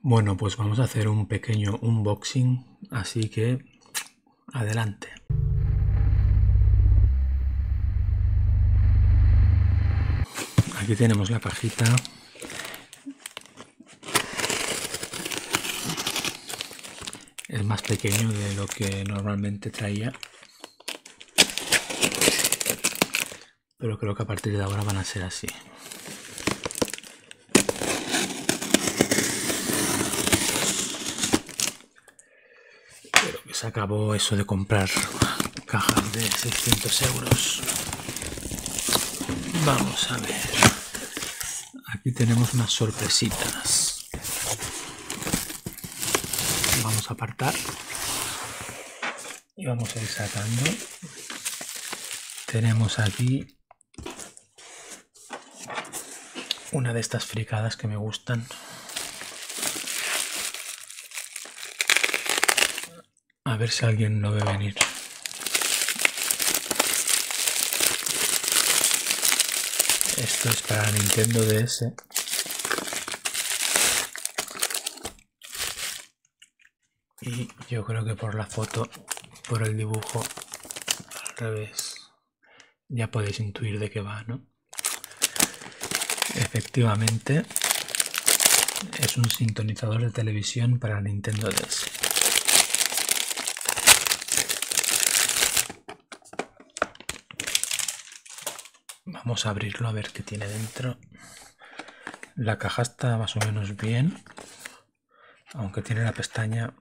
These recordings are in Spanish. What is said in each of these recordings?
Bueno, pues vamos a hacer un pequeño unboxing, así que adelante. Aquí tenemos la cajita. Es más pequeño de lo que normalmente traía pero creo que a partir de ahora van a ser así. Creo que se acabó eso de comprar cajas de 600 euros. Vamos a ver. Aquí tenemos unas sorpresitas. Vamos a apartar. Y vamos a ir sacando. Tenemos aquí una de estas fricadas que me gustan. A ver si alguien no ve venir. Esto es para Nintendo DS. Y yo creo que por la foto, por el dibujo, al revés, ya podéis intuir de qué va, ¿no? Efectivamente, es un sintonizador de televisión para Nintendo DS. Vamos a abrirlo a ver qué tiene dentro. La caja está más o menos bien aunque tiene la pestaña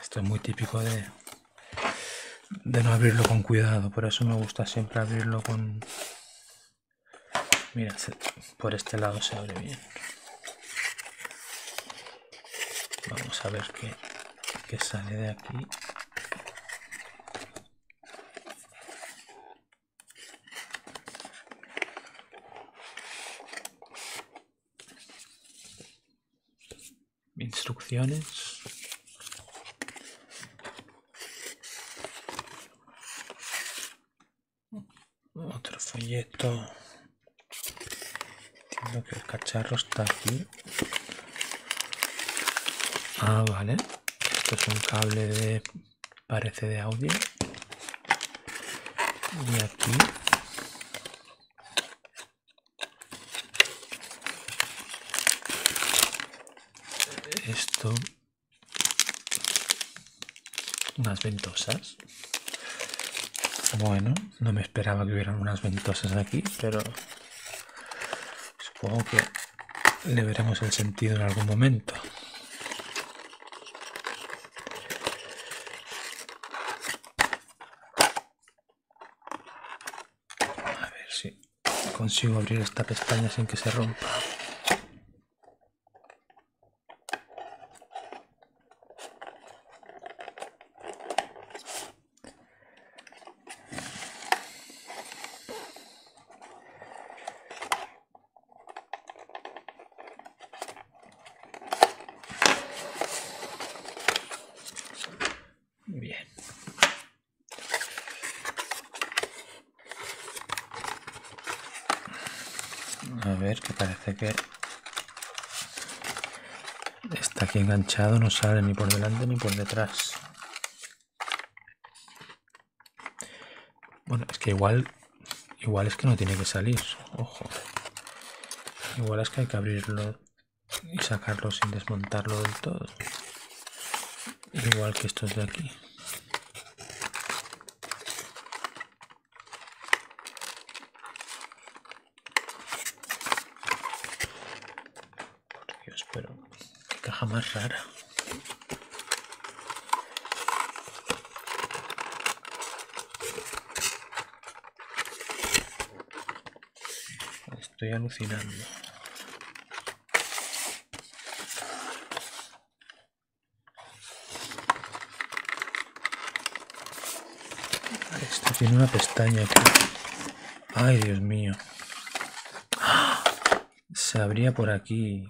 esto es muy típico de no abrirlo con cuidado por eso me gusta siempre abrirlo con mira por este lado se abre bien vamos a ver qué sale de aquí Instrucciones. Otro folleto. creo que el cacharro está aquí. Ah, vale. Esto es un cable de parece de audio y aquí esto unas ventosas bueno no me esperaba que hubieran unas ventosas aquí pero supongo que le veremos el sentido en algún momento a ver si consigo abrir esta pestaña sin que se rompa. Bien. A ver, que parece que está aquí enganchado, no sale ni por delante ni por detrás. Bueno, es que igual, igual es que no tiene que salir, ojo. Igual es que hay que abrirlo y sacarlo sin desmontarlo del todo. Igual que estos de aquí. Por Dios, pero caja más rara. Estoy alucinando. Esto tiene una pestaña aquí. Ay, Dios mío. Se abría por aquí.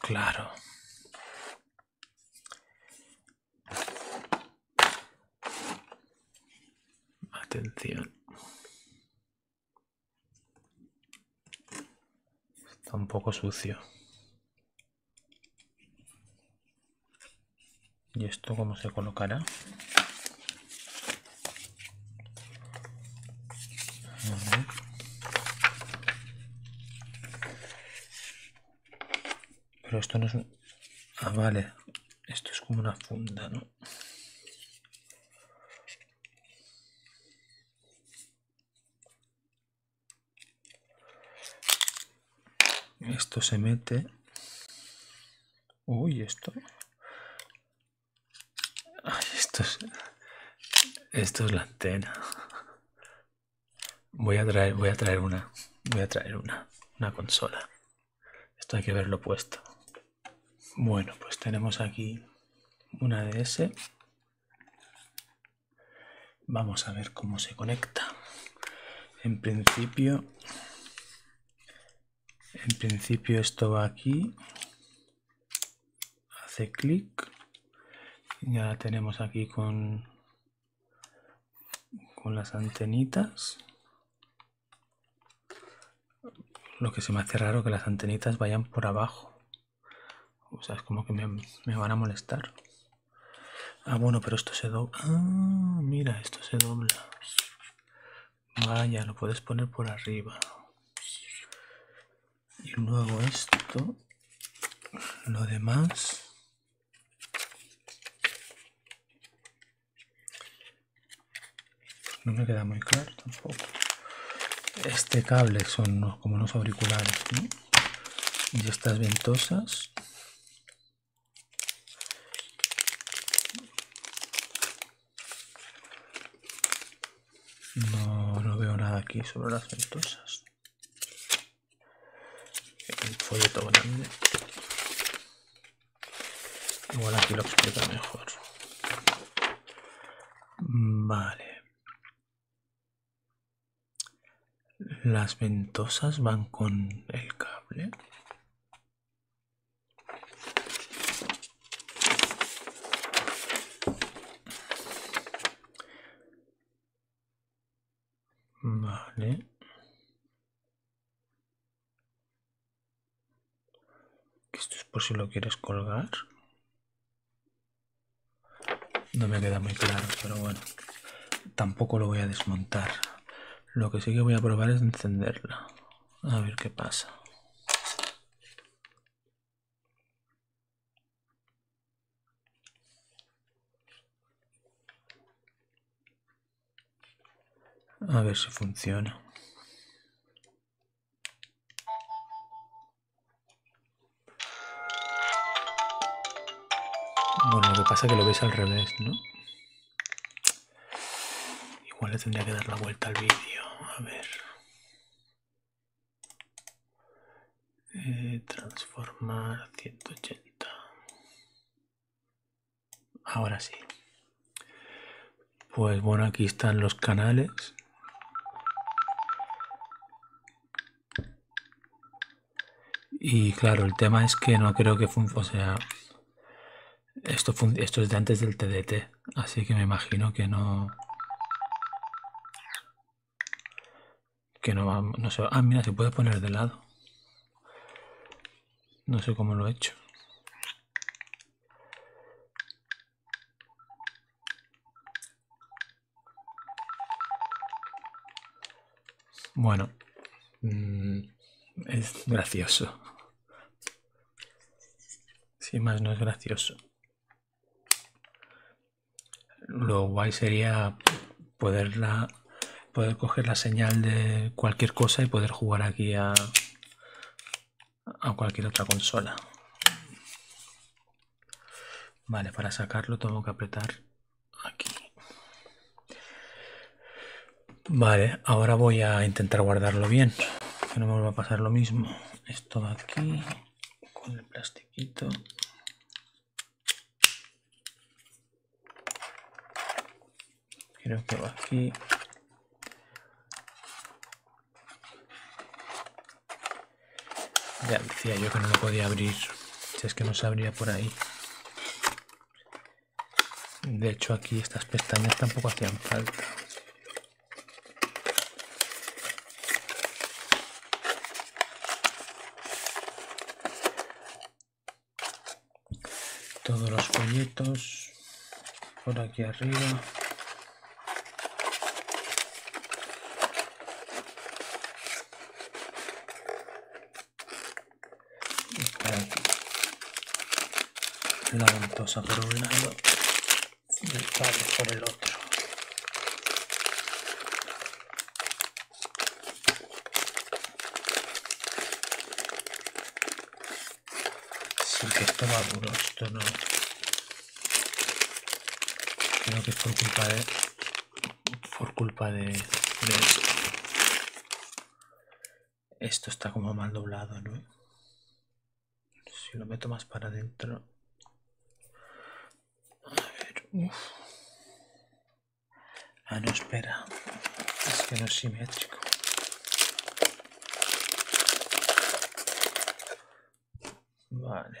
Claro. Atención. Está un poco sucio. ¿Y esto cómo se colocará? Pero esto no es un... Ah, vale. Esto es como una funda, ¿no? Esto se mete. Uy, esto. esto es. Esto es la antena. Voy a traer, voy a traer una. Voy a traer una. Una consola. Esto hay que verlo puesto. Bueno, pues tenemos aquí una DS. Vamos a ver cómo se conecta. En principio. En principio esto va aquí hace clic ya la tenemos aquí con con las antenitas lo que se me hace raro que las antenitas vayan por abajo o sea es como que me, van a molestar ah bueno pero esto se dobla ah, mira esto se dobla vaya lo puedes poner por arriba y luego esto lo demás no me queda muy claro tampoco este cable son como unos auriculares y estas ventosas no, no veo nada aquí sobre las ventosas el folleto grande igual aquí lo explica mejor vale las ventosas van con el cable Vale. Esto es por si lo quieres colgar. No me queda muy claro, pero bueno. Tampoco lo voy a desmontar. Lo que sí que voy a probar es encenderla. A ver qué pasa. A ver si funciona. Bueno, lo que pasa es que lo ves al revés, ¿no? Igual le tendría que dar la vuelta al vídeo. A ver. Eh, transformar 180 ahora sí pues bueno aquí están los canales y claro el tema es que no creo que FUNFO sea esto, esto es de antes del TDT así que me imagino que no que no vamos no sé. Ah, mira, se puede poner de lado. No sé cómo lo he hecho. Bueno, mm, es gracioso. sin más no es gracioso. Lo guay sería poderla, poder coger la señal de cualquier cosa y poder jugar aquí a, a cualquier otra consola. Vale, para sacarlo tengo que apretar aquí. Vale, ahora voy a intentar guardarlo bien, que no me va a pasar lo mismo. Esto de aquí, con el plastiquito creo que va aquí ya decía yo que no lo podía abrir si es que no se abría por ahí de hecho aquí estas pestañas tampoco hacían falta todos los folletos por aquí arriba la ventosa por por por el otro. si que esto va duro, esto no... Creo que es por culpa de... Por culpa de... esto. está como mal doblado, ¿no? Si lo meto más para adentro... A ver, Ah, no, espera. Es que no es simétrico. Vale.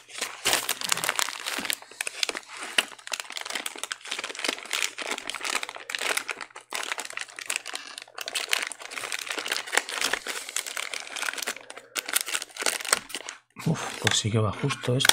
Uf, pues si que va justo esto.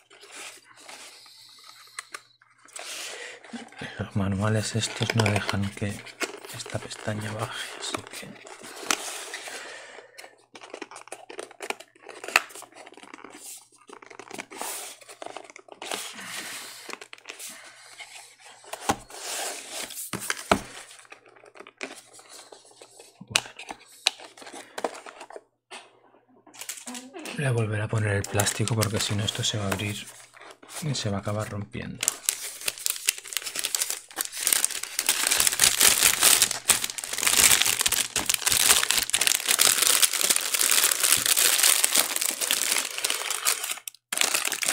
Los manuales estos no dejan que esta pestaña baje, Voy a volver a poner el plástico porque si no esto se va a abrir y se va a acabar rompiendo.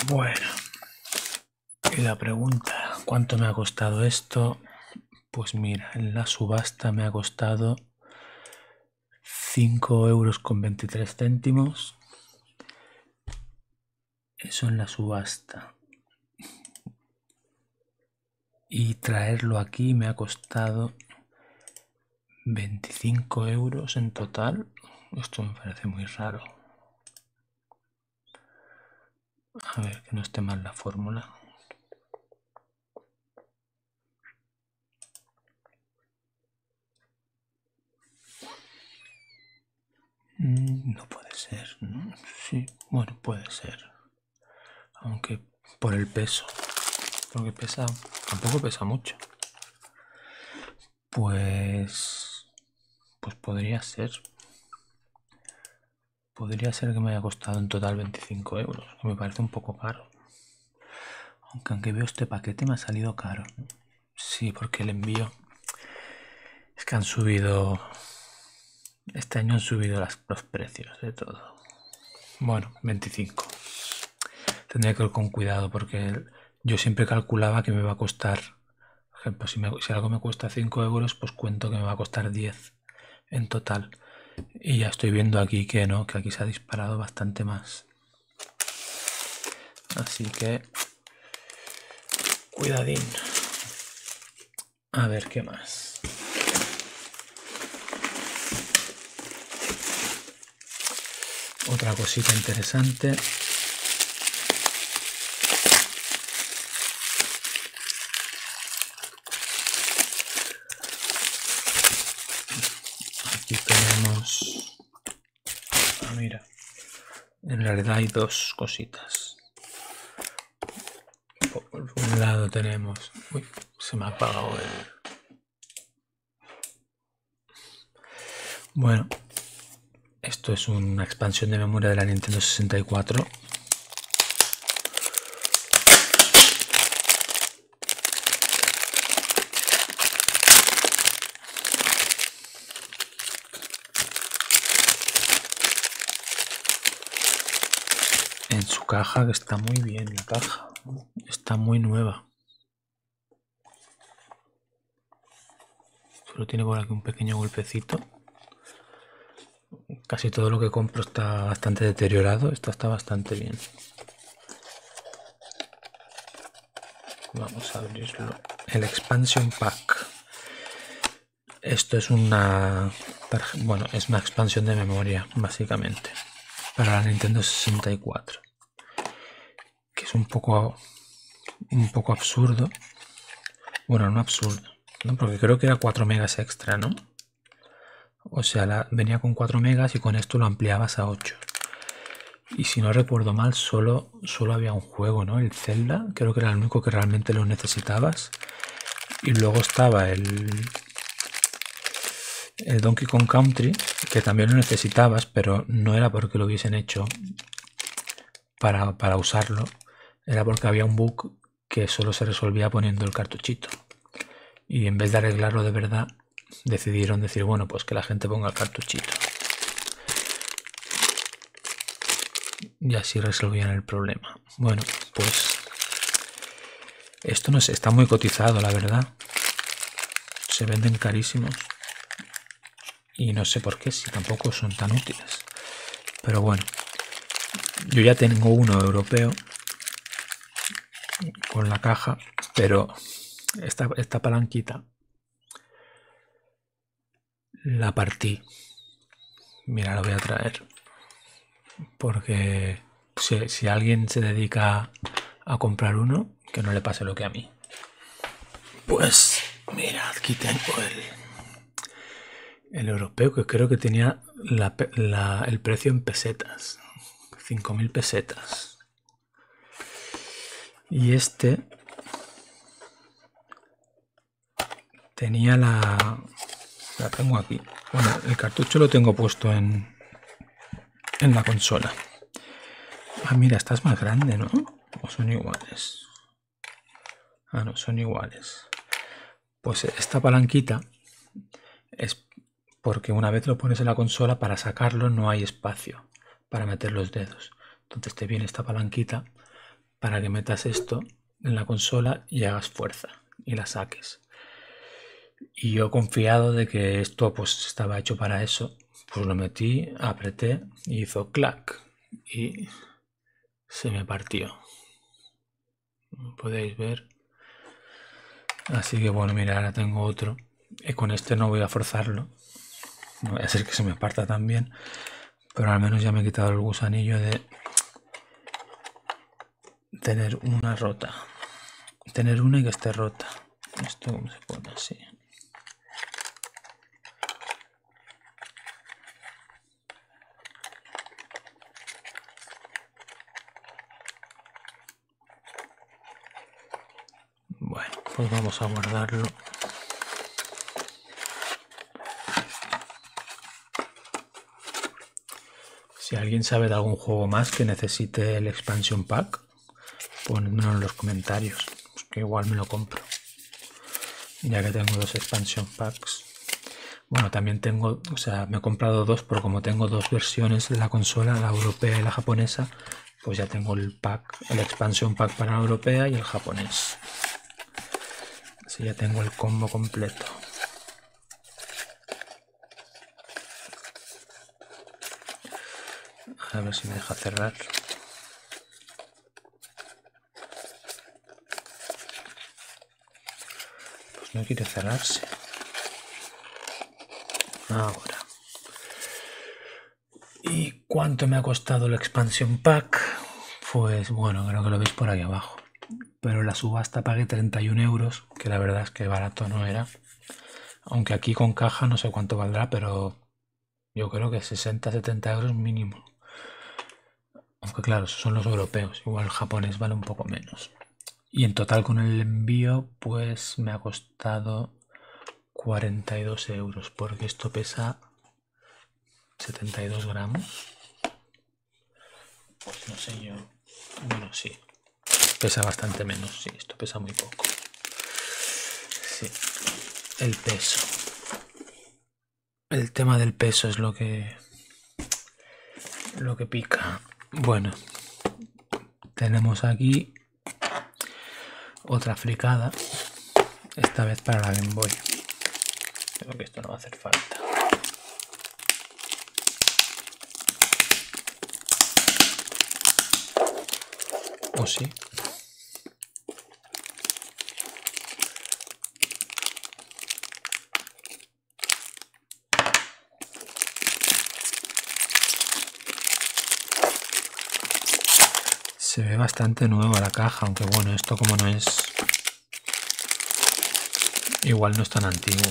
Bueno, y la pregunta, ¿cuánto me ha costado esto? Pues mira, en la subasta me ha costado 5 euros con 23 céntimos. Eso en la subasta. Y traerlo aquí me ha costado 25 euros en total. Esto me parece muy raro. A ver, que no esté mal la fórmula. Mm, no puede ser, ¿no? Sí, bueno, puede ser. Aunque por el peso. Porque pesa, tampoco pesa mucho. Pues... Pues podría ser. Podría ser que me haya costado en total 25 euros, me parece un poco caro. Aunque aunque veo este paquete me ha salido caro. Sí, porque el envío... Es que han subido... Este año han subido los precios de todo. Bueno, 25. Tendría que ir con cuidado porque yo siempre calculaba que me va a costar... Por ejemplo, si, si algo me cuesta 5 euros, pues cuento que me va a costar 10 en total. Y ya estoy viendo aquí que no, que aquí se ha disparado bastante más. Así que... Cuidadín. A ver qué más. Otra cosita interesante. Aquí tenemos... Ah, mira. En realidad hay dos cositas. Por un lado tenemos... Uy, se me ha apagado el... Bueno, esto es una expansión de memoria de la Nintendo 64 en su caja, que está muy bien la caja, está muy nueva. Solo tiene por aquí un pequeño golpecito. Casi todo lo que compro está bastante deteriorado, esto está bastante bien. Vamos a abrirlo. El Expansion Pack. Esto es una... Bueno, es una expansión de memoria, básicamente. Para la Nintendo 64. Que es un poco... Un poco absurdo. Bueno, no absurdo. Porque creo que era 4 megas extra, ¿no? O sea, venía con 4 megas y con esto lo ampliabas a 8. Y si no recuerdo mal, solo, había un juego, ¿no? El Zelda, creo que era el único que realmente lo necesitabas. Y luego estaba el, el Donkey Kong Country, que también lo necesitabas, pero no era porque lo hubiesen hecho para, para usarlo. Era porque había un bug que solo se resolvía poniendo el cartuchito. Y en vez de arreglarlo de verdad, decidieron decir, bueno, pues que la gente ponga el cartuchito. Y así resolvían el problema. Bueno, pues esto no está muy cotizado, la verdad. Se venden carísimos. Y no sé por qué, si tampoco son tan útiles. Pero bueno, yo ya tengo uno europeo con la caja pero esta, palanquita la partí. Mira, la voy a traer. Porque si, alguien se dedica a comprar uno, que no le pase lo que a mí. Pues, mira, aquí tengo el, el europeo, que creo que tenía el precio en pesetas. 5.000 pesetas. Y este tenía la... La tengo aquí. Bueno, el cartucho lo tengo puesto en, en la consola. Ah, mira, estás más grande, ¿no? ¿O son iguales? Ah, no, son iguales. Pues esta palanquita es porque una vez lo pones en la consola para sacarlo no hay espacio para meter los dedos. Entonces te viene esta palanquita para que metas esto en la consola y hagas fuerza y la saques. Y yo confiado de que esto pues, estaba hecho para eso, pues lo metí, apreté y hizo clac y se me partió. Podéis ver Así que bueno, mira, ahora tengo otro. Y con este no voy a forzarlo. No voy a ser que se me parta también. Pero al menos ya me he quitado el gusanillo de tener una rota. Tener una y que esté rota. Esto se pone así. Bueno, pues vamos a guardarlo. Si alguien sabe de algún juego más que necesite el expansion pack, ponedmelo en los comentarios, pues que igual me lo compro. Ya que tengo dos expansion packs. Bueno, también tengo, o sea, me he comprado dos pero como tengo dos versiones de la consola, la europea y la japonesa, pues ya tengo el pack, el expansion pack para la europea y el japonés. Así ya tengo el combo completo. A ver si me deja cerrar. Pues no quiere cerrarse. Ahora. ¿Y cuánto me ha costado la expansión pack? Pues bueno, creo que lo veis por aquí abajo. Pero la subasta pagué 31 euros, que la verdad es que barato no era. Aunque aquí con caja no sé cuánto valdrá, pero yo creo que 60-70 euros mínimo. Aunque claro, son los europeos. Igual japonés vale un poco menos. Y en total con el envío pues me ha costado 42 euros porque esto pesa 72 gramos. Pues no sé yo. Bueno, sí. Pesa bastante menos, sí. Esto pesa muy poco. Sí. El peso. El tema del peso es lo que... Lo que pica. Bueno tenemos aquí otra fricada, esta vez para la Game Creo que esto no va a hacer falta. ¿O sí? Se ve bastante nueva la caja, aunque bueno, esto como no es... Igual no es tan antiguo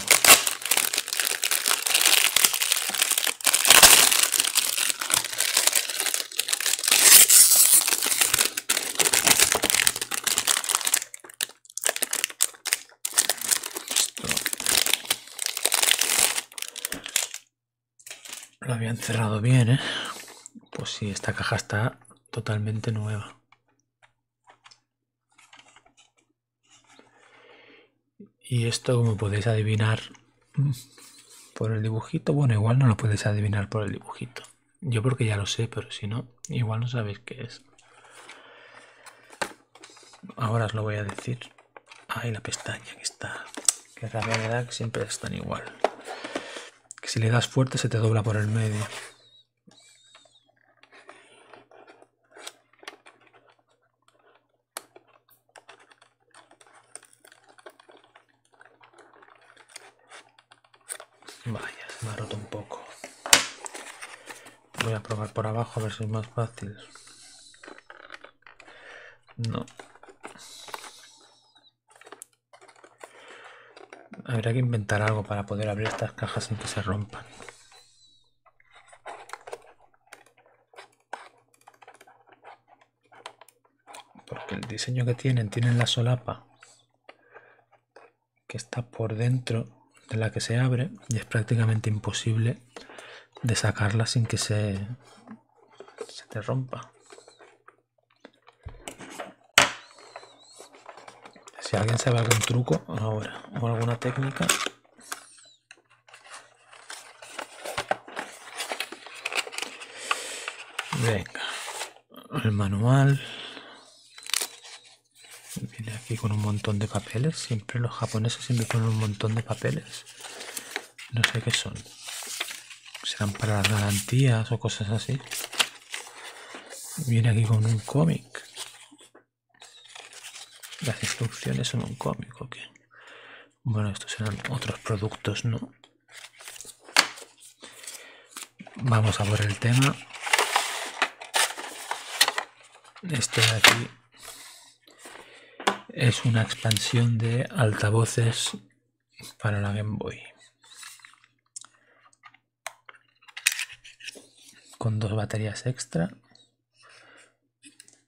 lo habían cerrado bien, ¿eh? Pues si esta caja está totalmente nueva. Y esto, como podéis adivinar mm, por el dibujito, bueno, igual no lo podéis adivinar por el dibujito. Yo porque ya lo sé, pero si no, igual no sabéis qué es. Ahora os lo voy a decir hay la pestaña que está. Que realmente la siempre están igual. Que si le das fuerte se te dobla por el medio. Vaya, se me un poco. Voy a probar por abajo a ver si es más fácil. No. Habrá que inventar algo para poder abrir estas cajas sin que se rompan. Porque el diseño que tienen, tienen la solapa que está por dentro de la que se abre y es prácticamente imposible de sacarla sin que se, se te rompa. Si alguien sabe algún truco ahora o alguna técnica, Venga, el manual. Viene aquí con un montón de papeles. Siempre los japoneses siempre ponen un montón de papeles. No sé qué son. Serán para las garantías o cosas así. Viene aquí con un cómic. Las instrucciones son un cómic, ¿ok? Bueno, estos serán otros productos, ¿no? Vamos a por el tema. esto de aquí es una expansión de altavoces para la Game Boy. Con dos baterías extra.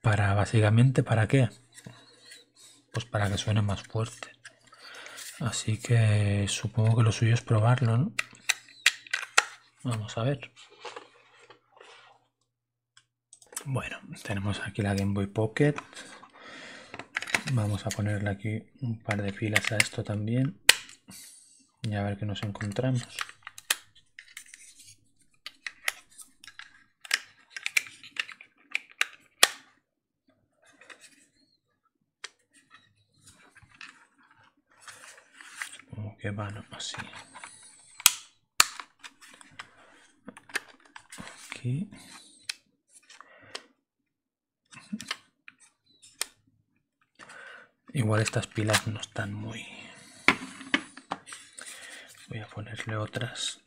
Para básicamente, ¿para qué? Pues para que suene más fuerte. Así que supongo que lo suyo es probarlo, Vamos a ver. Bueno, tenemos aquí la Game Boy Pocket. Vamos a ponerle aquí un par de filas a esto también. Y a ver qué nos encontramos. Supongo que van así. Igual estas pilas no están muy... Voy a ponerle otras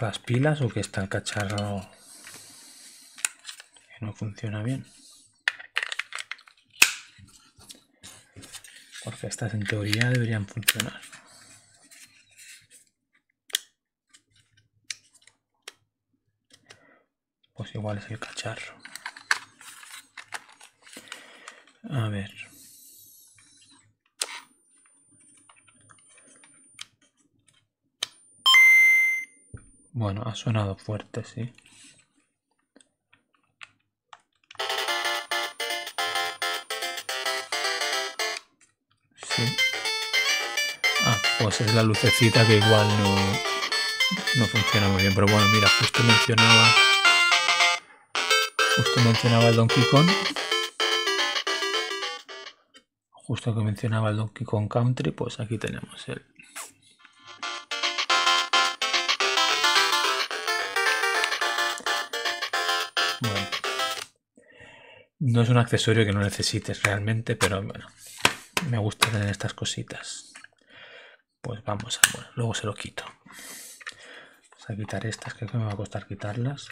las pilas o que está el cacharro que no funciona bien. Porque estas en teoría deberían funcionar. Pues igual es el cacharro. A ver. Bueno, ha sonado fuerte, sí. Sí. Ah, pues es la lucecita que igual no, no funciona muy bien. Pero bueno, mira, justo mencionaba... Justo mencionaba el Don Quijón justo que mencionaba el Donkey Kong Country, pues aquí tenemos el, no es un accesorio que no necesites realmente, pero bueno, me gusta tener estas cositas. Pues vamos a, luego se lo quito. Vamos a quitar estas, creo que me va a costar quitarlas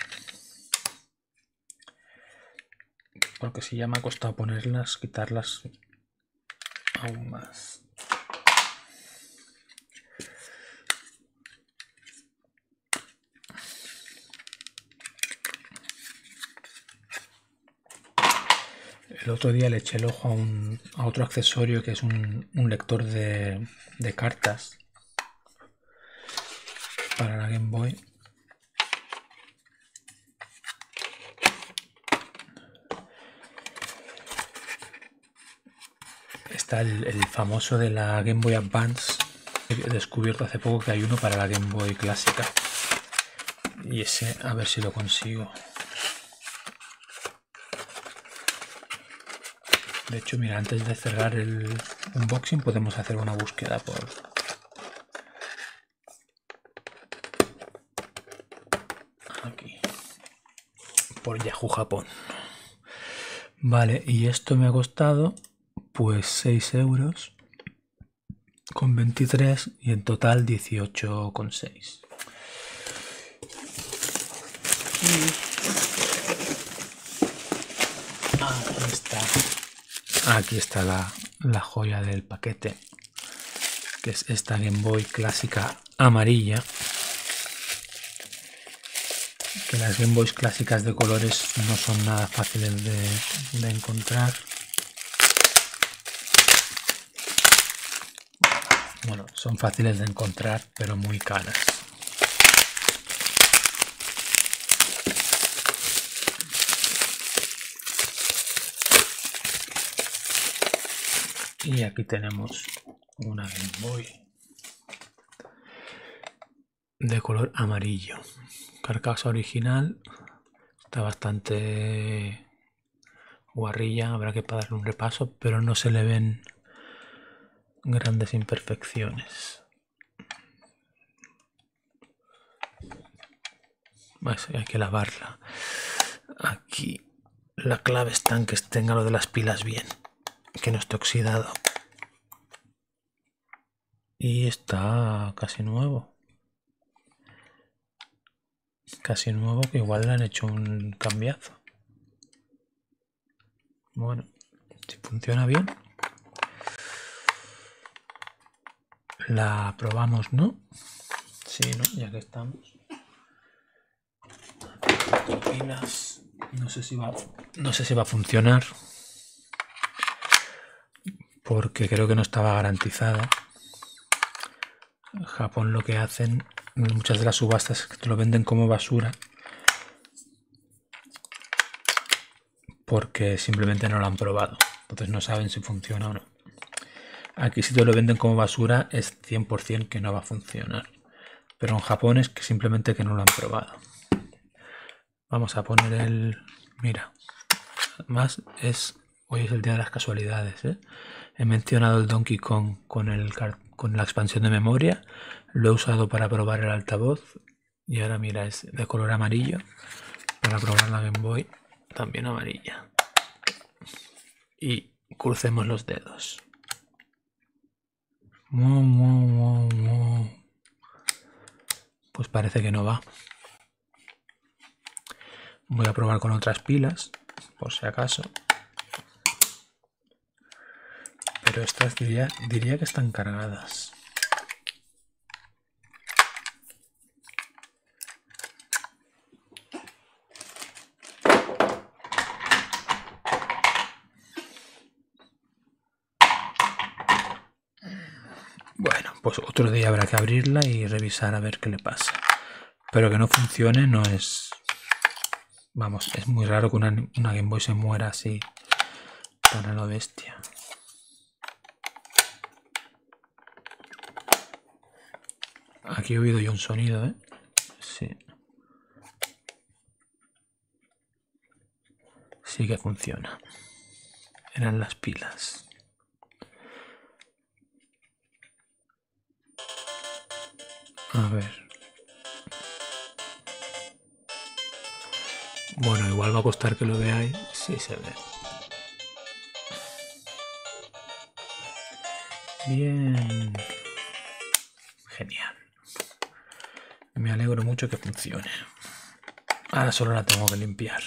porque si ya me ha costado ponerlas, quitarlas aún más. El otro día le eché el ojo a, un, a otro accesorio que es un, lector de, de cartas para la Game Boy Está el, famoso de la Game Boy Advance. He descubierto hace poco que hay uno para la Game Boy clásica. Y ese, a ver si lo consigo. De hecho, mira, antes de cerrar el unboxing podemos hacer una búsqueda por, Aquí. Por Yahoo Japón. Vale, y esto me ha costado pues 6 euros con 23 y en total 18,6. con está. Aquí está la, la joya del paquete, que es esta Game Boy clásica amarilla. Que las Game Boys clásicas de colores no son nada fáciles de, encontrar. Bueno, son fáciles de encontrar, pero muy caras. Y aquí tenemos una Game Boy de color amarillo. Carcasa original. Está bastante guarrilla. Habrá que darle un repaso, pero no se le ven grandes imperfecciones hay que lavarla. Aquí la clave está en que tenga lo de las pilas bien, que no esté oxidado. Y está casi nuevo. Casi nuevo, que igual le han hecho un cambiazo. Bueno, si funciona bien. La probamos, ¿no? Sí, ¿no? Ya que estamos. No sé si va, no sé si va a funcionar. Porque creo que no estaba garantizada. Japón lo que hacen, muchas de las subastas que te lo venden como basura porque simplemente no lo han probado. Entonces no saben si funciona o no. Aquí si te lo venden como basura es 100% que no va a funcionar. Pero en Japón es que simplemente que no lo han probado. Vamos a poner el... Mira, más es... Hoy es el día de las casualidades. ¿eh? He mencionado el Donkey Kong con, con la expansión de memoria. Lo he usado para probar el altavoz. Y ahora mira, es de color amarillo. Para probar la Game Boy también amarilla. Y crucemos los dedos. Pues parece que no va. Voy a probar con otras pilas, por si acaso. Pero estas diría, diría que están cargadas. Bueno, pues otro día habrá que abrirla y revisar a ver qué le pasa. Pero que no funcione no es... Vamos, es muy raro que una, Game Boy se muera así para la bestia. Aquí he oído yo un sonido, ¿eh? Sí. Sí que funciona. Eran las pilas. A ver. Bueno, igual va a costar que lo veáis. Sí se ve. Bien. Genial. Me alegro mucho que funcione. Ahora solo la tengo que limpiar.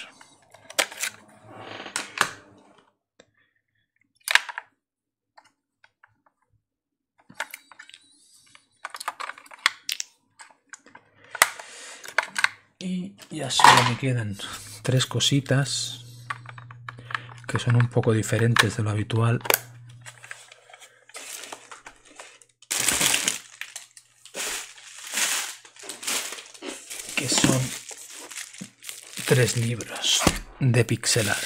Y ya solo me quedan tres cositas que son un poco diferentes de lo habitual. Que son tres libros de pixel art.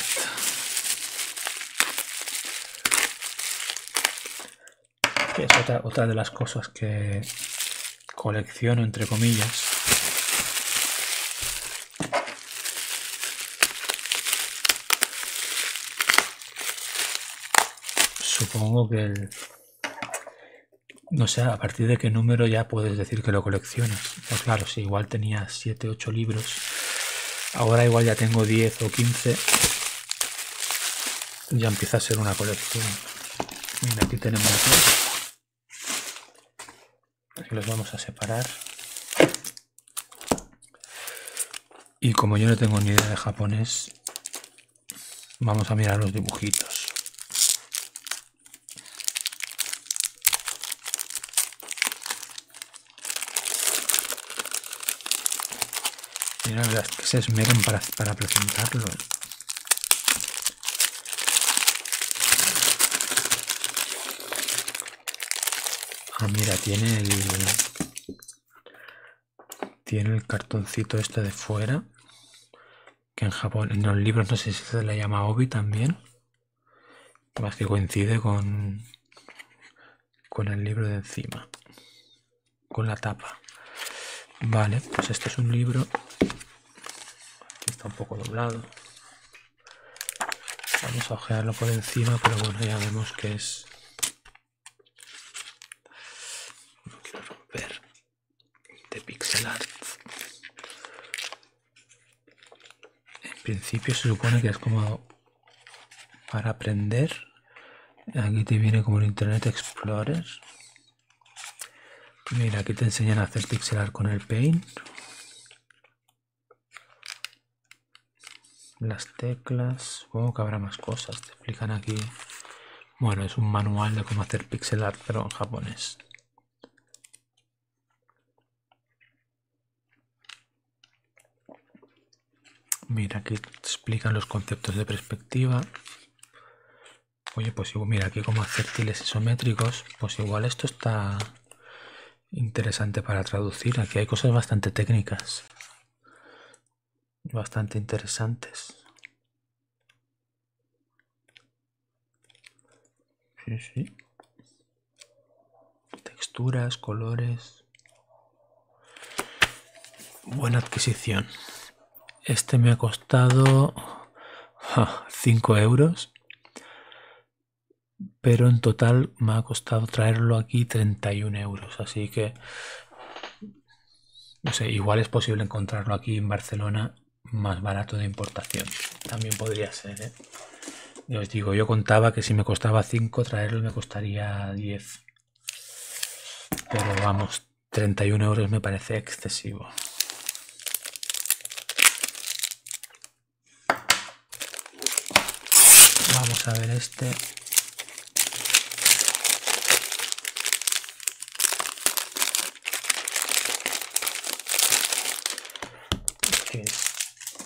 Que es otra de las cosas que, colecciono entre comillas. Supongo que el... No sé, a partir de qué número ya puedes decir que lo coleccionas. Pues claro, si igual tenía 7, 8 libros, ahora igual ya tengo 10 o 15 ya empieza a ser una colección. aquí tenemos Aquí los vamos a separar. Y como yo no tengo ni idea de japonés, vamos a mirar los dibujitos. Mira, las que se esmeran para, para presentarlo. Ah, mira, tiene el... Tiene el cartoncito este de fuera. Que en Japón, en los libros, no sé si se le llama obi también. Más que coincide con... Con el libro de encima. Con la tapa. Vale, pues este es un libro Aquí está un poco doblado. Vamos a ojearlo por encima, pero bueno, ya vemos que es... No quiero romper de pixel art. En principio se supone que es como para aprender. Aquí te viene como el Internet Explorer. Mira, aquí te enseñan a hacer pixelar con el paint. Las teclas, supongo que habrá más cosas, te explican aquí. Bueno, es un manual de cómo hacer pixel art, pero en japonés. Mira, aquí explican los conceptos de perspectiva. Oye, pues mira, aquí como acértiles isométricos, pues igual esto está interesante para traducir. Aquí hay cosas bastante técnicas. Bastante interesantes. Texturas, colores. Buena adquisición. Este me ha costado 5 euros. Pero en total me ha costado traerlo aquí 31 euros. Así que, no sé, igual es posible encontrarlo aquí en Barcelona más barato de importación. También podría ser, ¿eh? Yo os digo, yo contaba que si me costaba 5 traerlo me costaría 10. Pero vamos, 31 euros me parece excesivo. Vamos a ver este.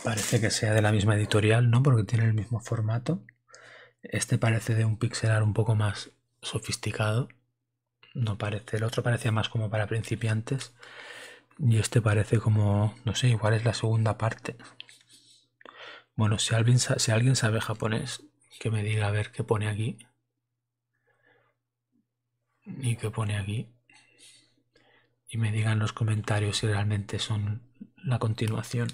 parece que sea de la misma editorial, ¿no? Porque tiene el mismo formato. Este parece de un pixelar un poco más sofisticado. No parece, el otro parecía más como para principiantes y este parece como, no sé, igual es la segunda parte. Bueno, si alguien, si alguien sabe japonés, que me diga a ver qué pone aquí. Y qué pone aquí. Y me digan los comentarios si realmente son la continuación.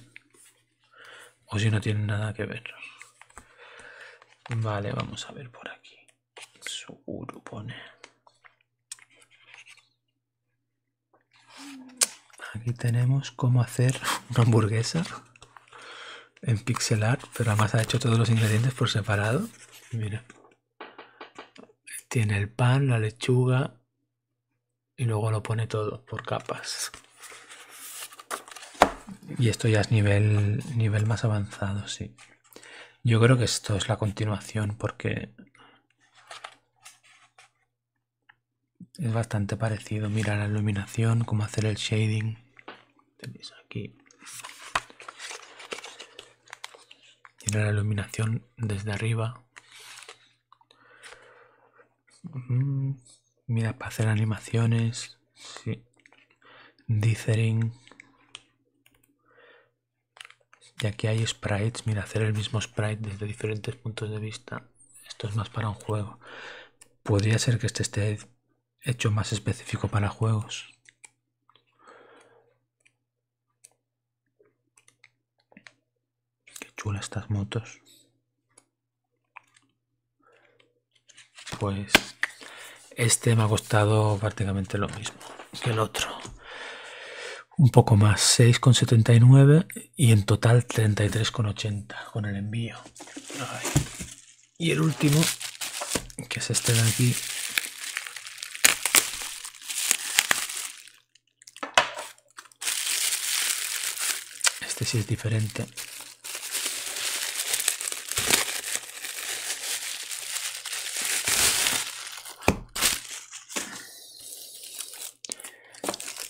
O si no tienen nada que ver. Vale, vamos a ver por aquí. Seguro pone. Aquí tenemos cómo hacer una hamburguesa en pixel art, pero además ha hecho todos los ingredientes por separado. Mira. Tiene el pan, la lechuga y luego lo pone todo por capas. Y esto ya es nivel, nivel más avanzado, sí. Yo creo que esto es la continuación porque es bastante parecido. Mira la iluminación, cómo hacer el shading. Tenéis aquí. Mira la iluminación desde arriba. Mm, mira, para hacer animaciones. Sí. Dithering. ya que hay sprites. Mira, hacer el mismo sprite desde diferentes puntos de vista. Esto es más para un juego. Podría ser que este esté hecho más específico para juegos. Qué chula estas motos. Pues este me ha costado prácticamente lo mismo que el otro. Un poco más, 6,79 y en total 33,80 con el envío. Y el último, que es este de aquí, este sí es diferente.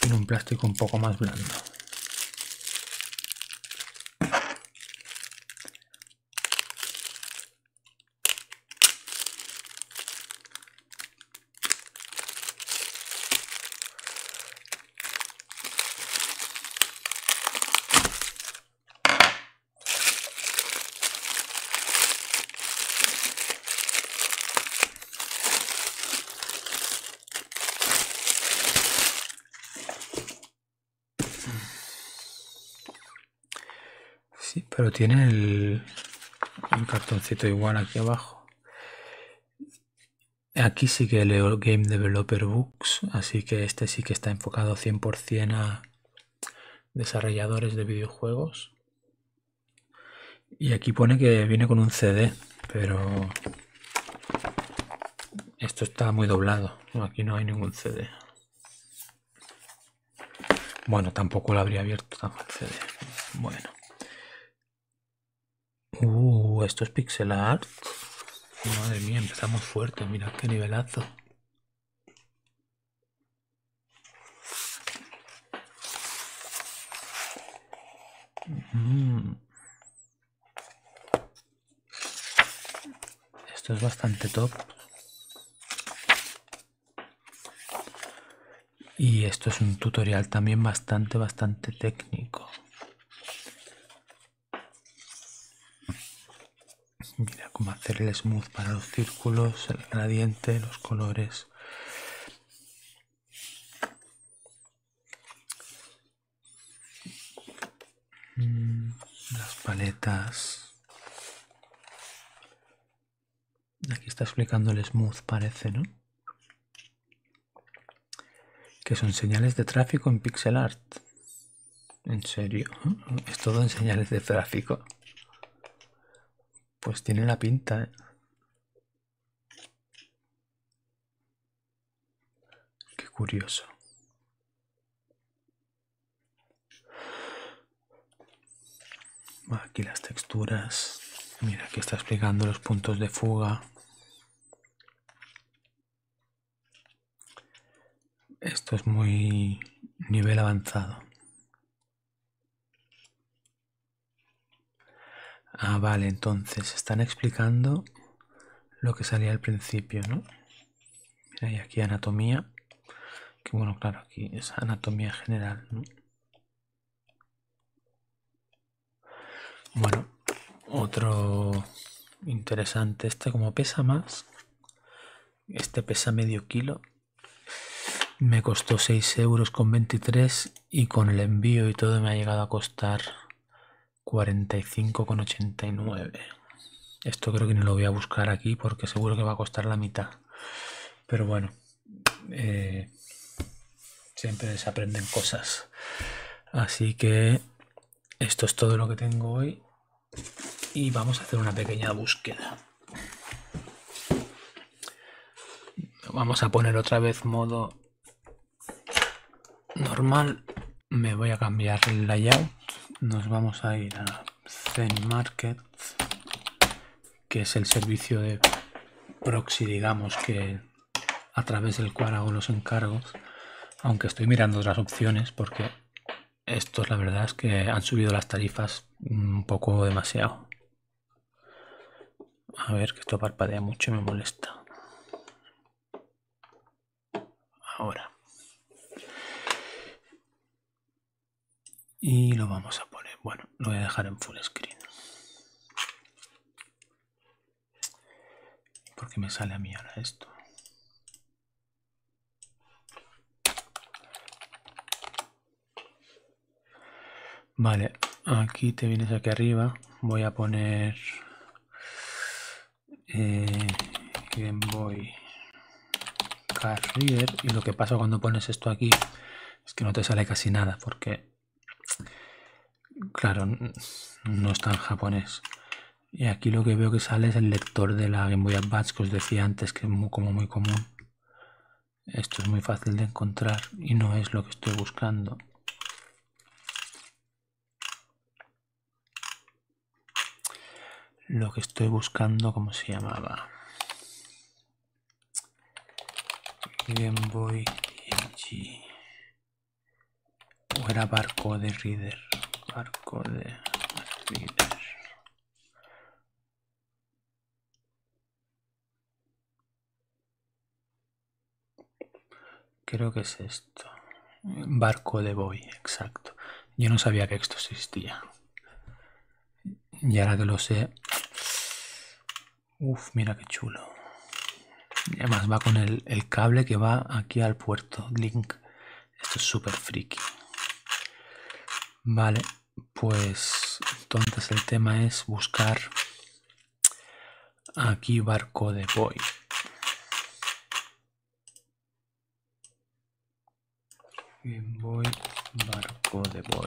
Tiene un plástico un poco más blando. Sí, pero tiene el, el, cartoncito igual aquí abajo. Aquí sí que el Game Developer Books, así que este sí que está enfocado 100% a desarrolladores de videojuegos. Y aquí pone que viene con un CD, pero esto está muy doblado. Aquí no hay ningún CD. Bueno, tampoco lo habría abierto tampoco CD. Bueno. Uh, esto es pixel art. Madre mía, empezamos fuerte, mira qué nivelazo. Mm. Esto es bastante top. Y esto es un tutorial también bastante, bastante técnico. Mira cómo hacer el smooth para los círculos, el gradiente, los colores. Mm, las paletas. Aquí está explicando el smooth, parece, ¿no? que son señales de tráfico en pixel art en serio es todo en señales de tráfico pues tiene la pinta ¿eh? qué curioso aquí las texturas mira que está explicando los puntos de fuga esto es muy nivel avanzado. Ah, vale, entonces están explicando lo que salía al principio, ¿no? Mira, y aquí anatomía. Que bueno, claro, aquí es anatomía general, ¿no? Bueno, otro interesante. Este como pesa más. Este pesa medio kilo. Me costó 6 euros con 23 y con el envío y todo me ha llegado a costar con 89 Esto creo que no lo voy a buscar aquí porque seguro que va a costar la mitad. Pero bueno, eh, siempre se aprenden cosas. Así que esto es todo lo que tengo hoy y vamos a hacer una pequeña búsqueda. Vamos a poner otra vez modo normal. Me voy a cambiar el layout. Nos vamos a ir a Zen que es el servicio de proxy, digamos, que a través del cual hago los encargos, aunque estoy mirando otras opciones porque estos la verdad es que han subido las tarifas un poco demasiado. A ver, que esto parpadea mucho y me molesta. Ahora. Y lo vamos a poner. Bueno, lo voy a dejar en full screen porque me sale a mí ahora esto vale aquí te vienes aquí arriba voy a poner eh, Game Boy y lo que pasa cuando pones esto aquí es que no te sale casi nada porque Claro, no está en japonés. Y aquí lo que veo que sale es el lector de la Game Boy Advance que os decía antes, que es muy, como muy común. Esto es muy fácil de encontrar y no es lo que estoy buscando. Lo que estoy buscando, ¿cómo se llamaba? Game Boy o era barco de Reader. Barco de Reader. Creo que es esto. Barco de Boy, exacto. Yo no sabía que esto existía. Y ahora que lo sé... uff, mira qué chulo. Y además va con el, cable que va aquí al puerto link. Esto es súper friki. Vale, pues entonces el tema es buscar aquí barco de boy. voy barco de boy.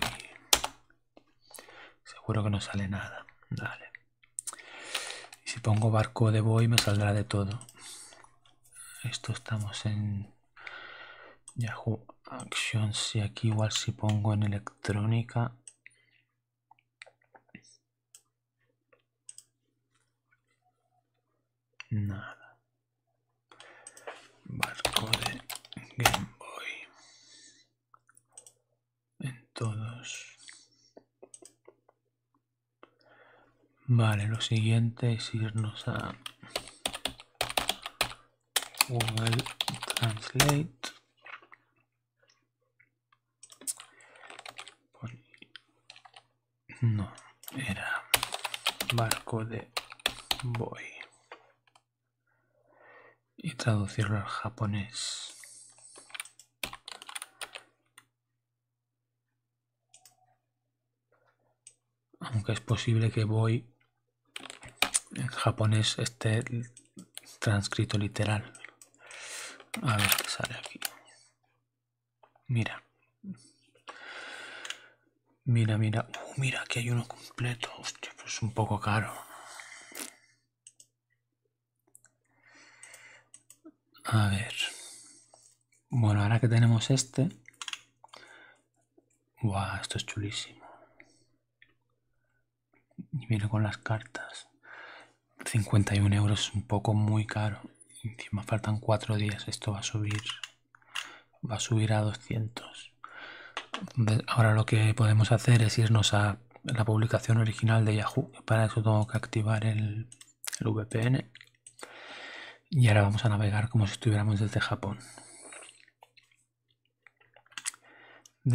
Seguro que no sale nada. Dale. Y si pongo barco de boy me saldrá de todo. Esto estamos en Yahoo Actions si aquí igual si pongo en electrónica. Nada. Barco de Game Boy. En todos. Vale, lo siguiente es irnos a Google Translate. No, era barco de boy. Y traducirlo al japonés. Aunque es posible que voy en japonés este transcrito literal. A ver sale aquí. Mira. Mira, mira. Uh, mira, que hay uno completo. pues es un poco caro. A ver. Bueno, ahora que tenemos este. esto es chulísimo. Y viene con las cartas. 51 euros es un poco muy caro. Encima faltan 4 días. Esto va a subir. Va a subir a 200. Ahora lo que podemos hacer es irnos a la publicación original de Yahoo. Para eso tengo que activar el el VPN y ahora vamos a navegar como si estuviéramos desde Japón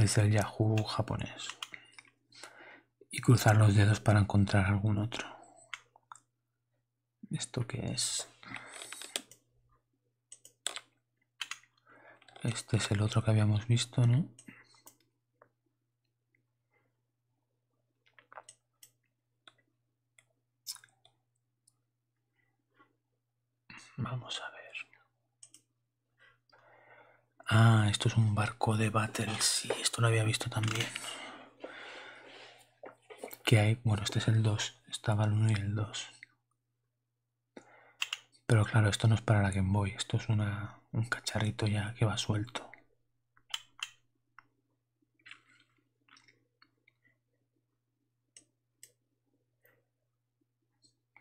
desde el Yahoo japonés y cruzar los dedos para encontrar algún otro esto que es este es el otro que habíamos visto no Vamos a ver. Ah, esto es un barco de battles Sí, esto lo había visto también. Que hay. Bueno, este es el 2. Estaba el 1 y el 2. Pero claro, esto no es para la Game Boy. Esto es una, un cacharrito ya que va suelto.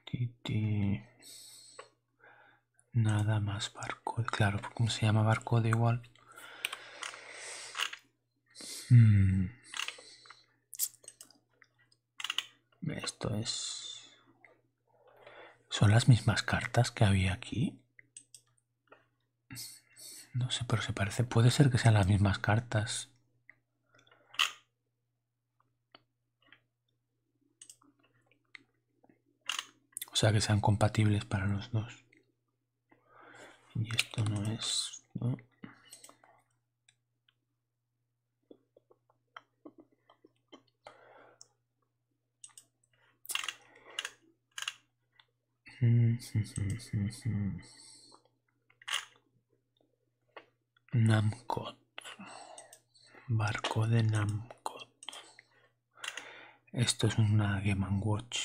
Titi. Nada más barco. Claro, como se llama barcode igual. Mm. Esto es... ¿Son las mismas cartas que había aquí? No sé, pero se parece. Puede ser que sean las mismas cartas. O sea, que sean compatibles para los dos. Y esto no es... Mm, mm, mm, Namcot. Barco de Namcot. Esto es una Game Watch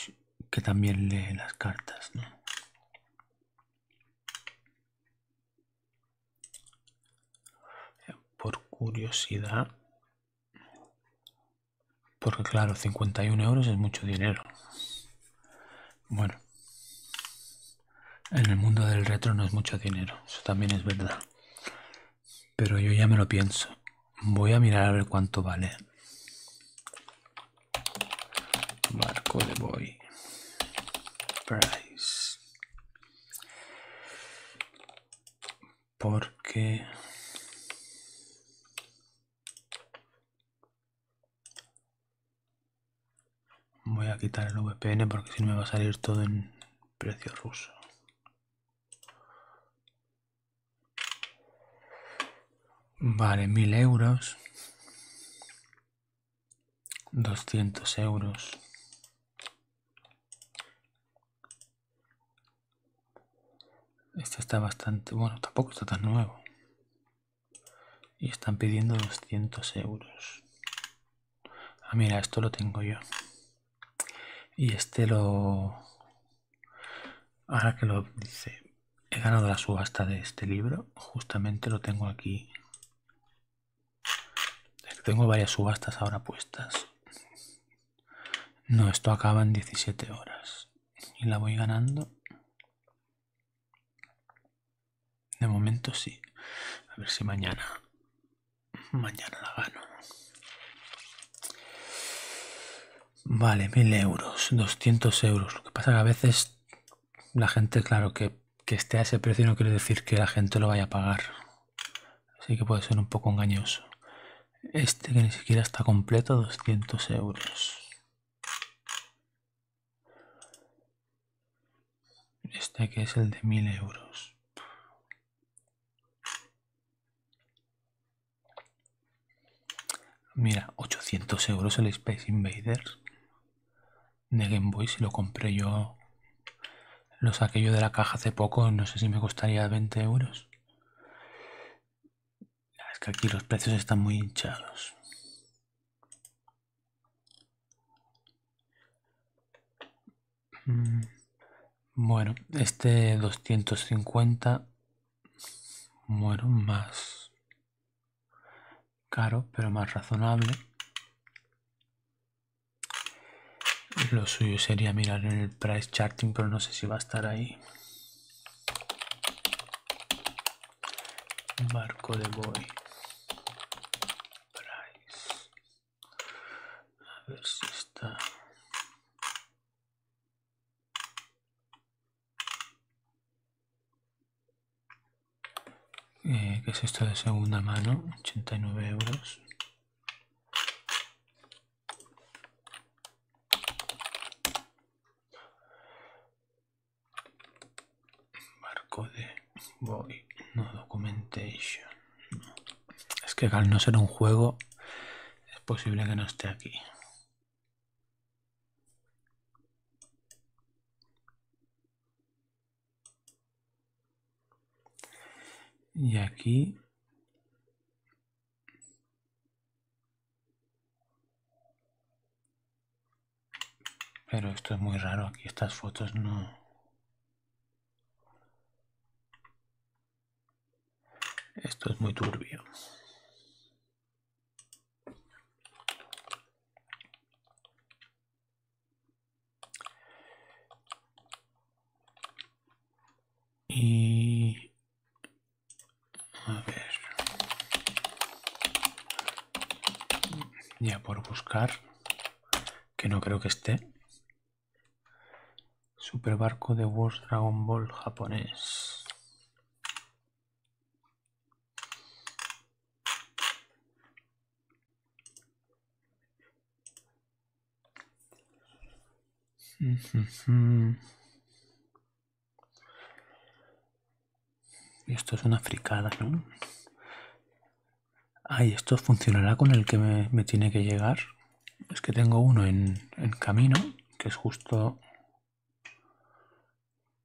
que también lee las cartas, Por curiosidad, porque claro, 51 euros es mucho dinero. Bueno, en el mundo del retro no es mucho dinero, eso también es verdad. Pero yo ya me lo pienso. Voy a mirar a ver cuánto vale. Marco de Boy. Price porque voy a quitar el VPN porque si me va a salir todo en precio ruso vale mil euros 200 euros este está bastante... Bueno, tampoco está tan nuevo. Y están pidiendo 200 euros. Ah, mira, esto lo tengo yo. Y este lo... Ahora que lo dice... He ganado la subasta de este libro. Justamente lo tengo aquí. Tengo varias subastas ahora puestas. No, esto acaba en 17 horas. Y la voy ganando. De momento sí. A ver si mañana. Mañana la gano. Vale, 1000 euros, 200 euros. Lo que pasa que a veces la gente, claro, que esté a ese precio no quiere decir que la gente lo vaya a pagar. Así que puede ser un poco engañoso. Este que ni siquiera está completo, 200 euros. Este que es el de 1000 euros. Mira, 800 euros el Space Invaders de Game Boy. Si lo compré yo, lo saqué yo de la caja hace poco. No sé si me costaría 20 euros. Ah, es que aquí los precios están muy hinchados. Mm, bueno, este 250, bueno, más caro, pero más razonable. Lo suyo sería mirar en el price charting, pero no sé si va a estar ahí. Marco de Boy. Price. A ver si está. Eh, es esto de segunda mano? 89 euros. Marco de Boy, no Documentation. Es que al no ser un juego, es posible que no esté aquí. Y aquí pero esto es muy raro, aquí estas fotos no... Esto es muy turbio. Y... A ver. Ya por buscar, que no creo que esté. super barco de World Dragon Ball japonés. esto es una fricada, ¿no? Ay, esto funcionará con el que me, tiene que llegar. Es que tengo uno en, en camino, que es justo...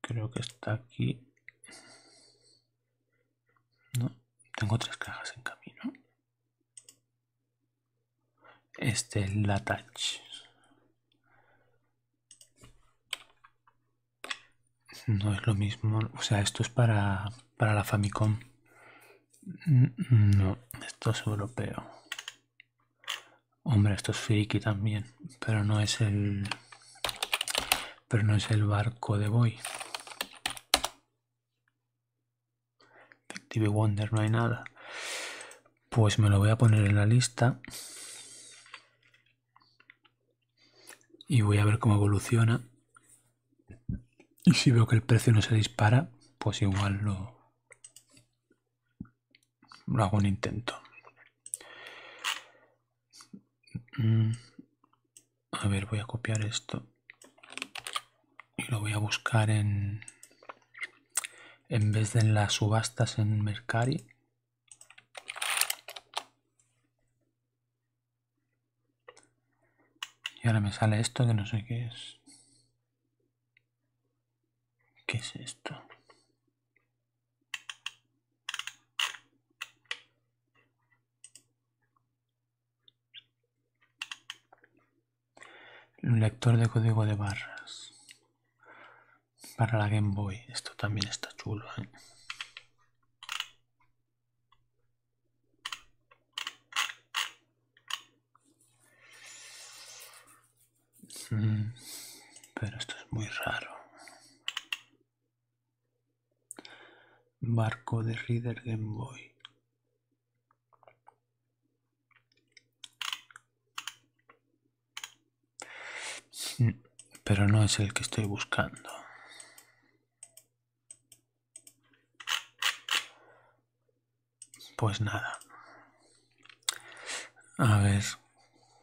Creo que está aquí. No, tengo tres cajas en camino. Este es la touch. No es lo mismo. O sea, esto es para, para la Famicom. No, esto es europeo. Hombre, esto es friki también. Pero no es el. Pero no es el barco de Boy. TV Wonder no hay nada. Pues me lo voy a poner en la lista. Y voy a ver cómo evoluciona. Y si veo que el precio no se dispara, pues igual lo, lo hago un intento. Mm, a ver, voy a copiar esto y lo voy a buscar en en vez de en las subastas en Mercari y ahora me sale esto que no sé qué es qué es esto un lector de código de barras. Para la Game Boy. Esto también está chulo. ¿eh? Mm, pero esto es muy raro. Barco de Reader Game Boy. Pero no es el que estoy buscando. Pues nada. A ver.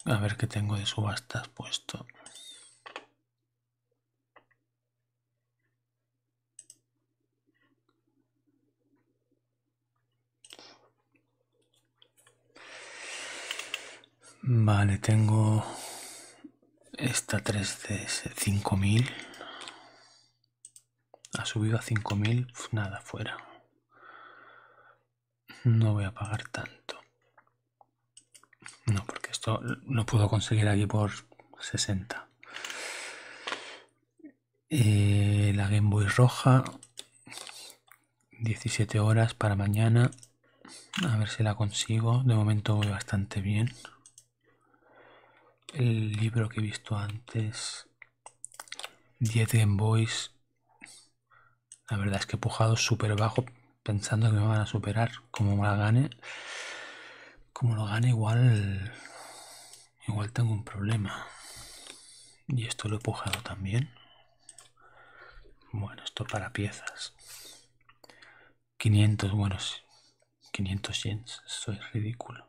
A ver qué tengo de subastas puesto. Vale, tengo esta 3 cinco mil. Ha subido a mil, pues nada, fuera. No voy a pagar tanto. No, porque esto lo puedo conseguir aquí por 60. Eh, la Game Boy roja. 17 horas para mañana. A ver si la consigo. De momento voy bastante bien. El libro que he visto antes. 10 Game Boys. La verdad es que he pujado súper bajo pensando que me van a superar. Como me la gane. Como lo gane igual Igual tengo un problema. Y esto lo he pujado también. Bueno, esto para piezas. 500, buenos 500 yens. soy ridículo.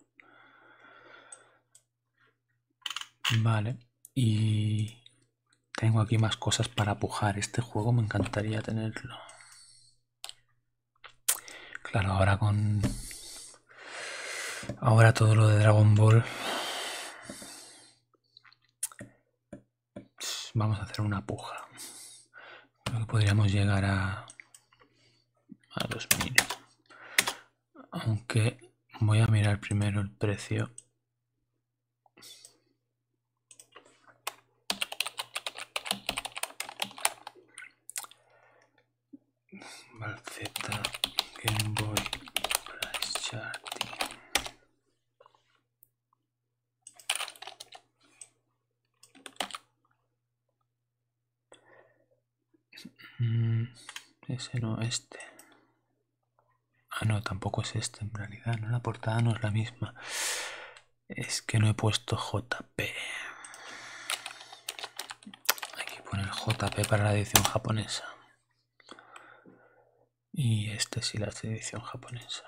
Vale. Y tengo aquí más cosas para pujar. Este juego me encantaría tenerlo. Claro, ahora con... Ahora todo lo de Dragon Ball... Vamos a hacer una puja. podríamos llegar a... A 2000. Aunque voy a mirar primero el precio Malzeta, Game Boy, Price Charting. Mm, ese no, este. Ah, no, tampoco es este en realidad, no la portada no es la misma. Es que no he puesto J. Aquí pone JP para la edición japonesa. Y este sí la edición japonesa.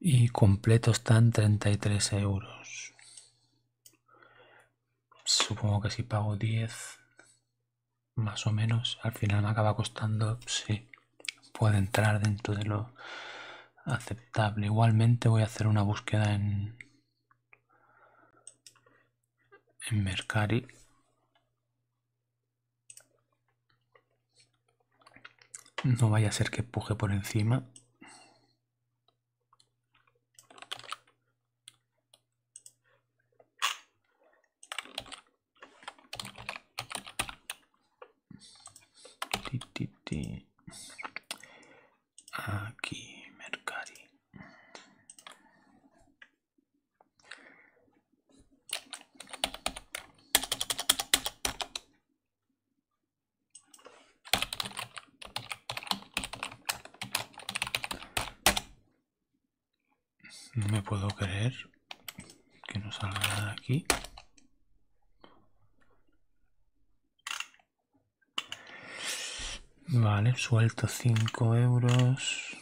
Y completo están 33 euros. Supongo que si pago 10, más o menos, al final me acaba costando, si puede entrar dentro de lo aceptable. Igualmente voy a hacer una búsqueda en, en Mercari no vaya a ser que puje por encima Aquí, Mercari. No me puedo creer que no salga nada aquí. Vale, suelto 5 euros.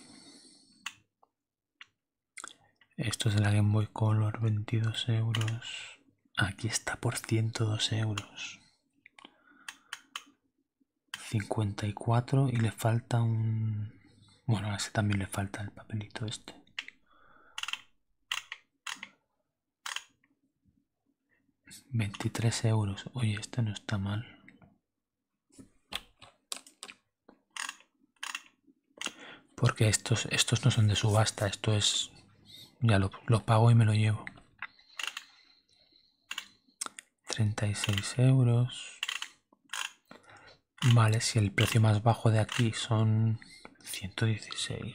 Esto es de la Game Boy Color, 22 euros. Aquí está por 102 euros. 54 y le falta un... Bueno, a ese también le falta el papelito este. 23 euros. Oye, este no está mal. Porque estos, estos no son de subasta, esto es... Ya lo, lo pago y me lo llevo. 36 euros. Vale, si el precio más bajo de aquí son 116.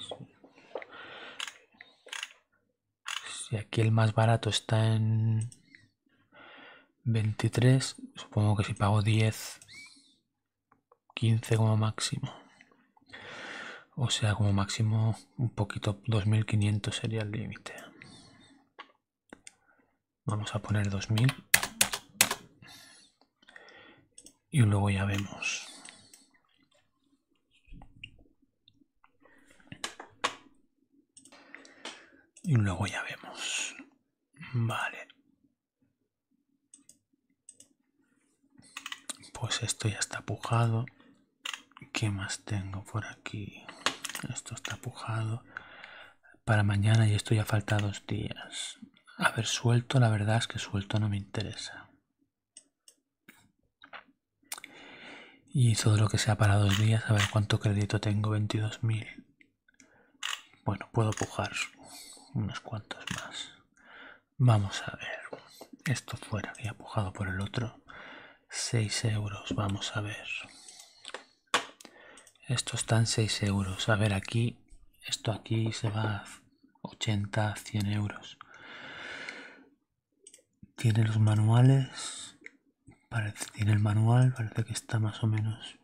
Si aquí el más barato está en 23, supongo que si pago 10, 15 como máximo. O sea, como máximo un poquito, 2500 sería el límite. Vamos a poner 2000. Y luego ya vemos. Y luego ya vemos. Vale. Pues esto ya está pujado. ¿Qué más tengo por aquí? Esto está pujado. Para mañana y esto ya falta dos días. A ver, suelto, la verdad es que suelto no me interesa. Y todo lo que sea para dos días, a ver cuánto crédito tengo, 22.000. Bueno, puedo pujar unos cuantos más. Vamos a ver. Esto fuera, que pujado por el otro. 6 euros, vamos a ver. Esto están 6 euros. A ver, aquí, esto aquí se va a 80, 100 euros. Tiene los manuales. Parece, tiene el manual, parece que está más o menos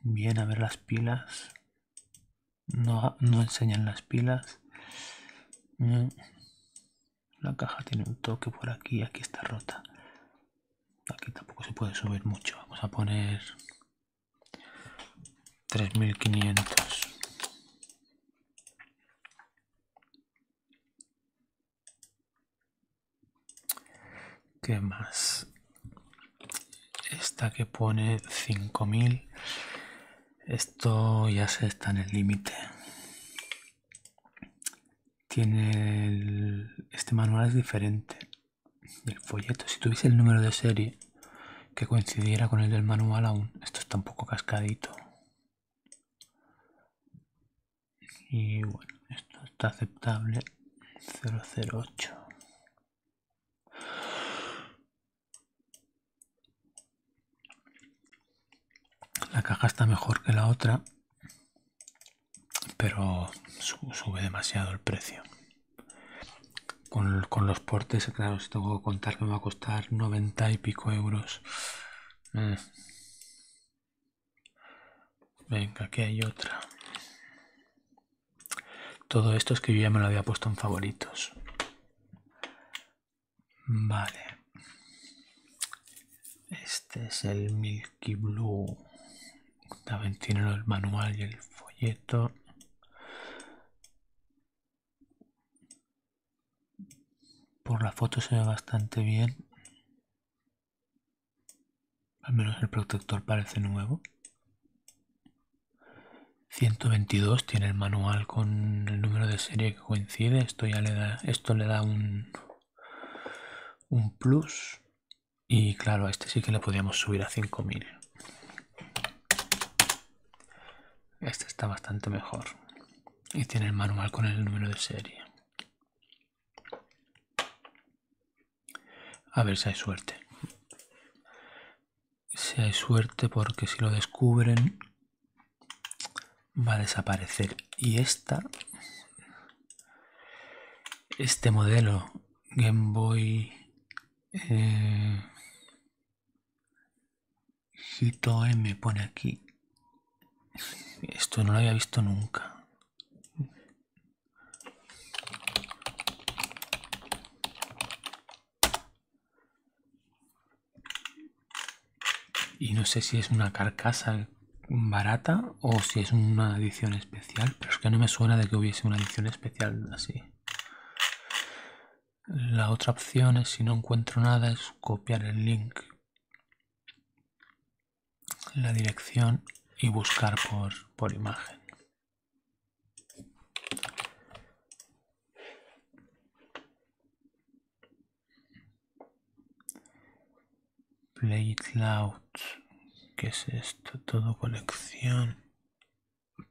bien. A ver las pilas. No, no enseñan las pilas. La caja tiene un toque por aquí, aquí está rota. Aquí tampoco se puede subir mucho. Vamos a poner 3500. ¿Qué más? Esta que pone 5000. Esto ya se está en el límite. Tiene este manual es diferente del folleto. Si tuviese el número de serie que coincidiera con el del manual aún, esto está un poco cascadito y bueno esto está aceptable 008 la caja está mejor que la otra pero sube demasiado el precio con, los portes claro si tengo que contar que me va a costar 90 y pico euros. Mm. Venga, aquí hay otra. Todo esto es que yo ya me lo había puesto en favoritos. Vale. Este es el Milky Blue. También tiene el manual y el folleto. Por la foto se ve bastante bien. Al menos el protector parece nuevo. 122 tiene el manual con el número de serie que coincide. Esto le da, esto le da un, un plus. Y claro, a este sí que le podíamos subir a 5000. Este está bastante mejor y tiene el manual con el número de serie. A ver si hay suerte. Si hay suerte porque si lo descubren va a desaparecer. Y esta, este modelo Game Boy eh, hito me pone aquí. Esto no lo había visto nunca. Y no sé si es una carcasa barata o si es una edición especial, pero es que no me suena de que hubiese una edición especial así. La otra opción es, si no encuentro nada, es copiar el link, la dirección y buscar por, por imagen. Play it loud. ¿Qué es esto? Todo colección.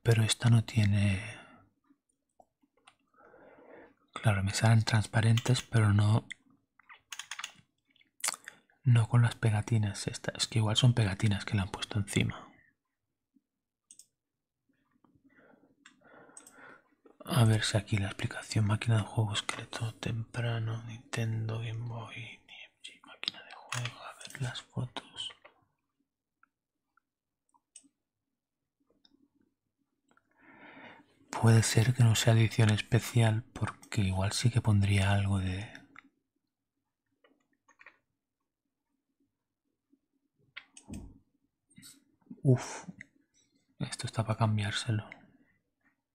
Pero esta no tiene Claro, me salen transparentes, pero no... No con las pegatinas estas. Es que igual son pegatinas que le han puesto encima. A ver si aquí la explicación. Máquina de juego, todo temprano, Nintendo, Game Boy, máquina de juego. A ver las fotos. Puede ser que no sea edición especial porque igual sí que pondría algo de... Uf, esto está para cambiárselo.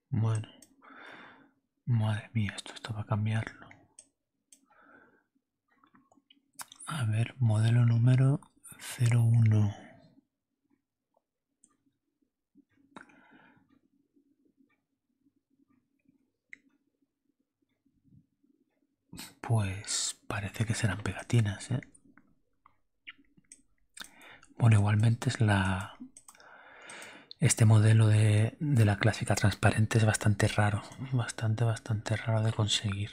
Bueno, madre mía, esto está para cambiarlo. A ver, modelo número 01. Pues parece que serán pegatinas, ¿eh? Bueno, igualmente es la... Este modelo de, de la clásica transparente es bastante raro, bastante, bastante raro de conseguir.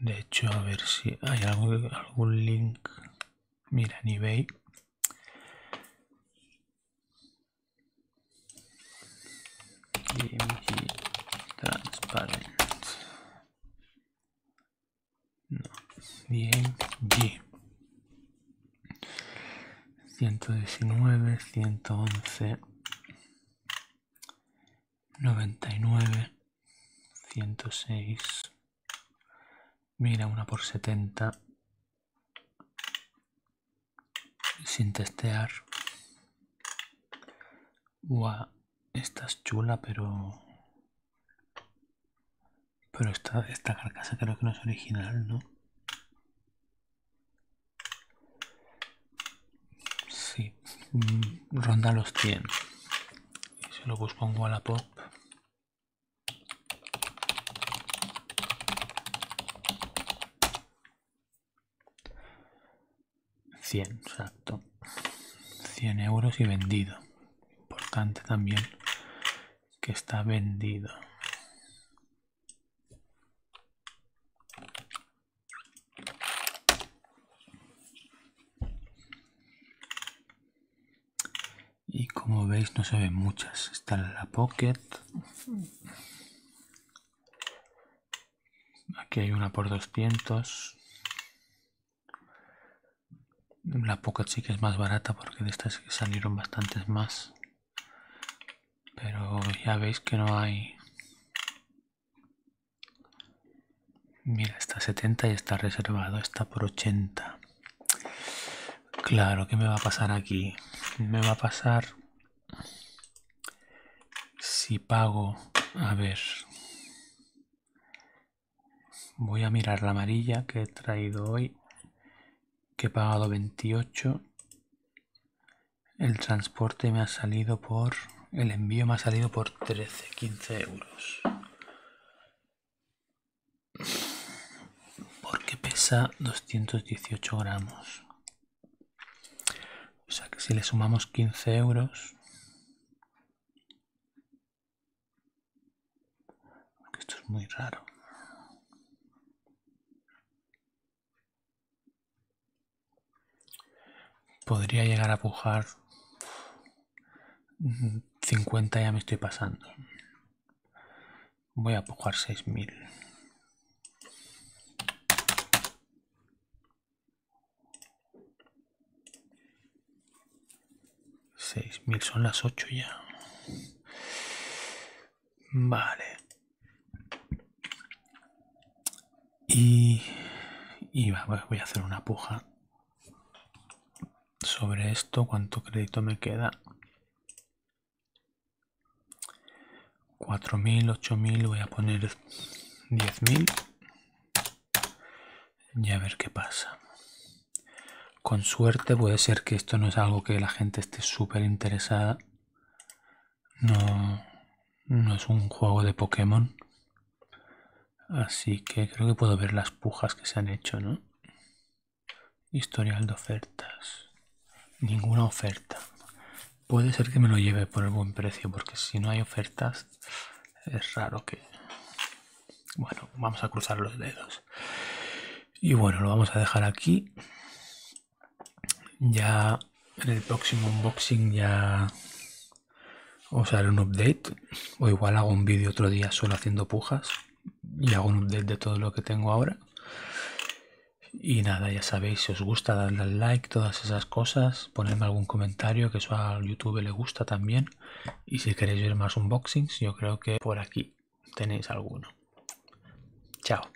De hecho, a ver si hay algún, link. Mira, en eBay. IMG Transparent. 119, 111, 99, 106. Mira, una por 70. Sin testear. esta es chula, pero... Pero está esta carcasa creo que no es original, ¿no? Sí, mm, ronda los 100. Y se lo a la Wallapop. 100, exacto. 100 euros y vendido. Importante también que está vendido. Y como veis no se ven muchas. Está la Pocket. Aquí hay una por 200. La Pocket sí que es más barata porque de estas salieron bastantes más pero ya veis que no hay mira está 70 y está reservado está por 80 claro ¿qué me va a pasar aquí me va a pasar si pago a ver voy a mirar la amarilla que he traído hoy que he pagado 28 el transporte me ha salido por... El envío me ha salido por 13, 15 euros. Porque pesa 218 gramos. O sea que si le sumamos 15 euros... esto es muy raro. Podría llegar a pujar 50 ya me estoy pasando. Voy a pujar 6000. 6.000 son las 8 ya. Vale. Y, y voy a hacer una puja sobre esto. ¿Cuánto crédito me queda? 4.000, 8.000, voy a poner 10.000 y a ver qué pasa. Con suerte puede ser que esto no es algo que la gente esté súper interesada no, es un juego de Pokémon. Así que creo que puedo ver las pujas que se han hecho, ¿no? Historial de ofertas. Ninguna oferta. Puede ser que me lo lleve por el buen precio, porque si no hay ofertas, es raro que... Bueno, vamos a cruzar los dedos. Y bueno, lo vamos a dejar aquí. Ya en el próximo unboxing ya os haré un update. O igual hago un vídeo otro día solo haciendo pujas. Y hago un update de todo lo que tengo ahora. Y nada, ya sabéis, si os gusta darle al like, todas esas cosas, ponerme algún comentario, que eso a YouTube le gusta también. Y si queréis ver más unboxings, yo creo que por aquí tenéis alguno. Chao.